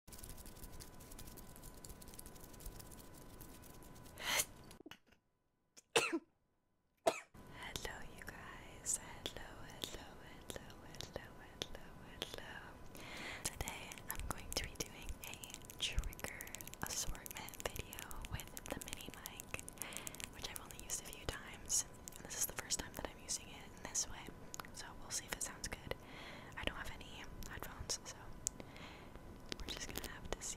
hello, you guys. Hello, hello, hello, hello, hello, hello. Today I'm going to be doing a trigger assortment video with the mini mic, which I've only used a few times. And this is the first time that I'm using it in this way, so we'll see if it sounds good. I don't have any headphones, so we're just gonna have to see.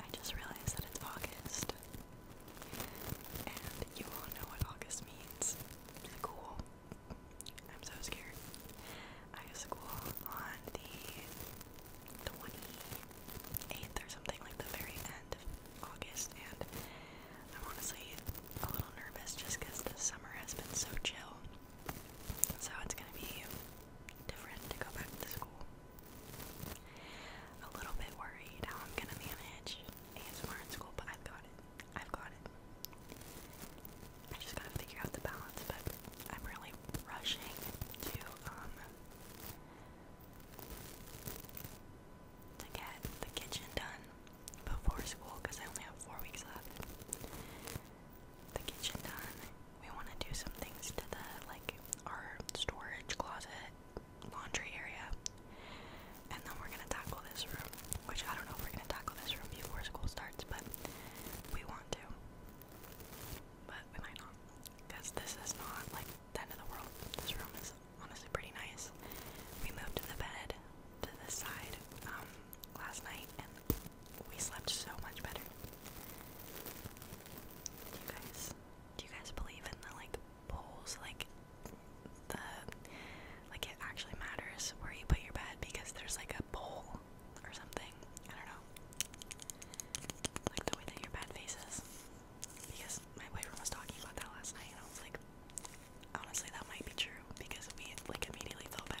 I just realized that it's August. And you all know what August means. School. I'm so scared. I have school on the 28th or something, like the very end of August, and I'm honestly a little nervous just because the summer has been so chill. So it's gonna be different to go back to school a little bit worried how I'm gonna manage ASMR in school, but I've got it. I've got it. I just gotta figure out the balance, but I'm really rushing to um to get the kitchen done before school because I only have four weeks left. The kitchen done. We want to do some things to the like our storage closet laundry area. And then we're gonna tackle this room, which I don't know if we're gonna tackle this room before school starts, but we want to. But we might not, because this is not like the end of the world. This room is honestly pretty nice. We moved to the bed to this side um, last night, and we slept so much better. you guys, do you guys believe in the like bowls like the like it actually matters where you put your bed because there's like a bowl or something. I don't know. Like the way that your bed faces. Because my boyfriend was talking about that last night and I was like honestly that might be true because we like immediately felt better.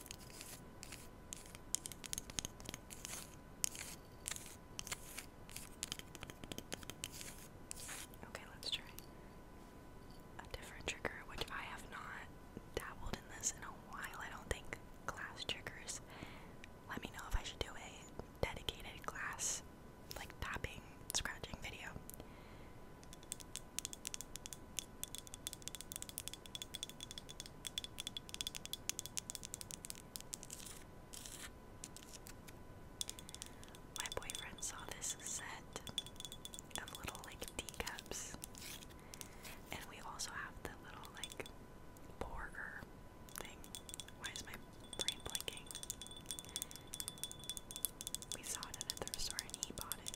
Okay, let's try a different trigger, which I have not dabbled in this in a while. I don't think glass triggers. Let me know if I should do a dedicated glass, like tapping, scratching video. My boyfriend saw this set of little like teacups, and we also have the little like border thing. Why is my brain blinking? We saw it at a store and he bought it.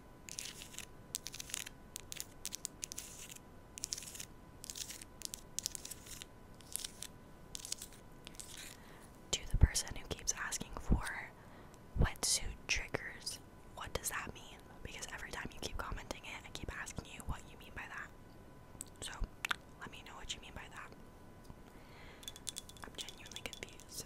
To the person who keeps asking for wetsuit triggers, what does that mean? Because every time you keep commenting it, I keep asking you what you mean by that. So let me know what you mean by that. I'm genuinely confused.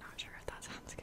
Not sure if that sounds good.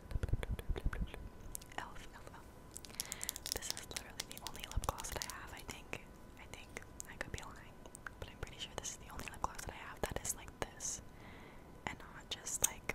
Elf, elf, elf. This is literally the only lip gloss that I have, I think. I think. I could be lying. But I'm pretty sure this is the only lip gloss that I have that is like this. And not just like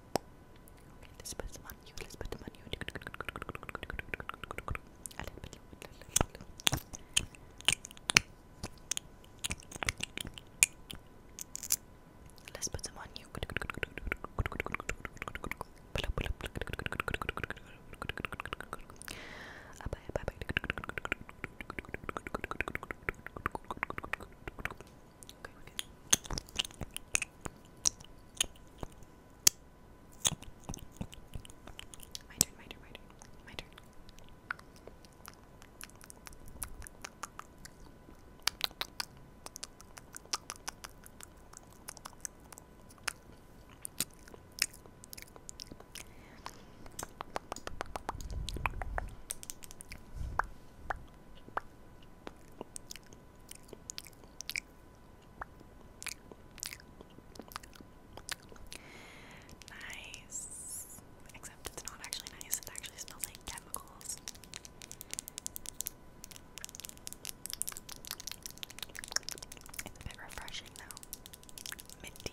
Okay, let's put some on you. Let's put them on you. A little bit, little bit, little bit, little bit. Let's put some on you. Bye, bye, bye. Okay, we're good. My turn, my turn, my turn, my turn. Nice. Except it's not actually nice, it actually smells like chemicals. It's a bit refreshing though. Minty.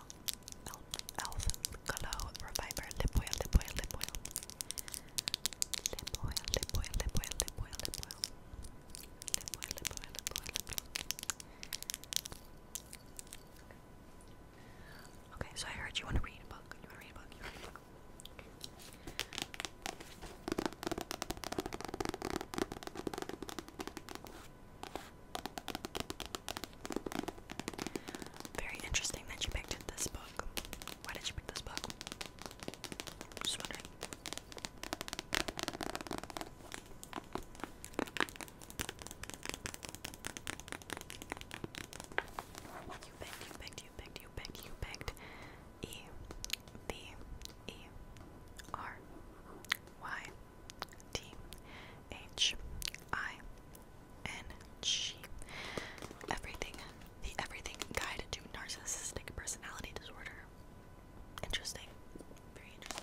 Elf, Elf, Glow Reviver Lip Oil, Lip Oil, Lip Oil. Lip Oil, Lip Oil, Lip Oil, Lip Oil, Lip Oil. Lip Oil, Okay, so I heard You want to read a book. You want to read a book. Very interesting that you picked this book. Why did you pick this book? Just You picked, you picked, you picked, you picked, you picked E, B, E, R, Y. T H I N G. Everything, the Everything Guide to Narcissistic Personality Disorder. Interesting. Very interesting.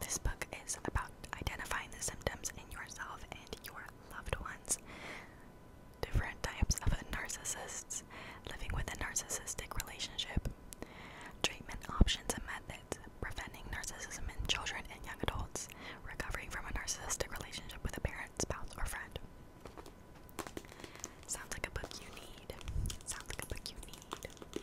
This book is about identifying the symptoms in yourself and your loved ones different types of narcissists living with a narcissistic relationship, treatment options and methods, preventing narcissism in children and young adults, recovering from a narcissistic relationship with a parent, spouse, or friend. Sounds like a book you need. Sounds like a book you need.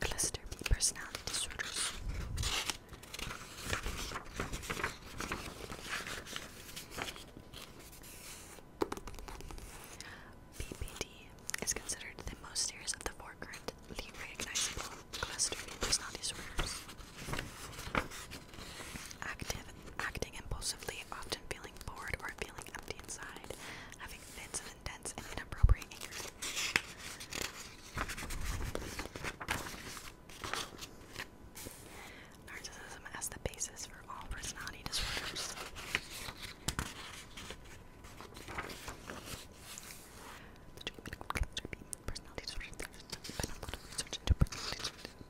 Cluster B personality disorders. BPD is considered the most serious of the four currently recognizable cluster B personality disorders. Active, acting impulsively, often feeling bored or feeling empty inside, having fits of intense and inappropriate anger. Narcissism as the basis for all personality disorders.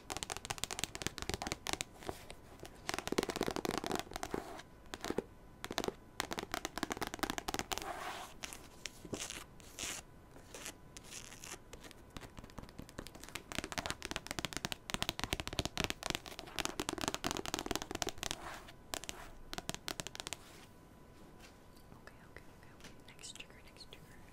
okay, okay, okay. Next trigger, next trigger.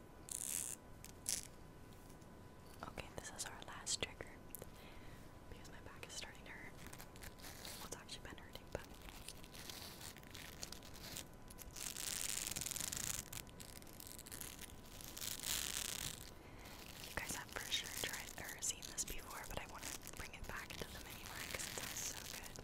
Okay, this is our last trigger because my back is starting to hurt. it's actually been hurting, but. You guys have for sure tried or seen this before, but I want to bring it back into the mini because it's so good.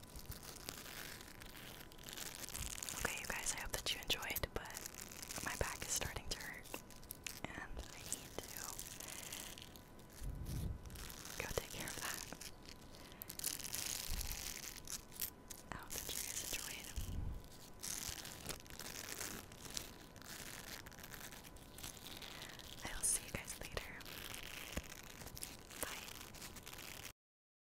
Okay, you guys, I hope that you enjoyed, but my back is starting to hurt, and I need to go take care of that. I hope that you guys enjoyed. I will see you guys later. Bye.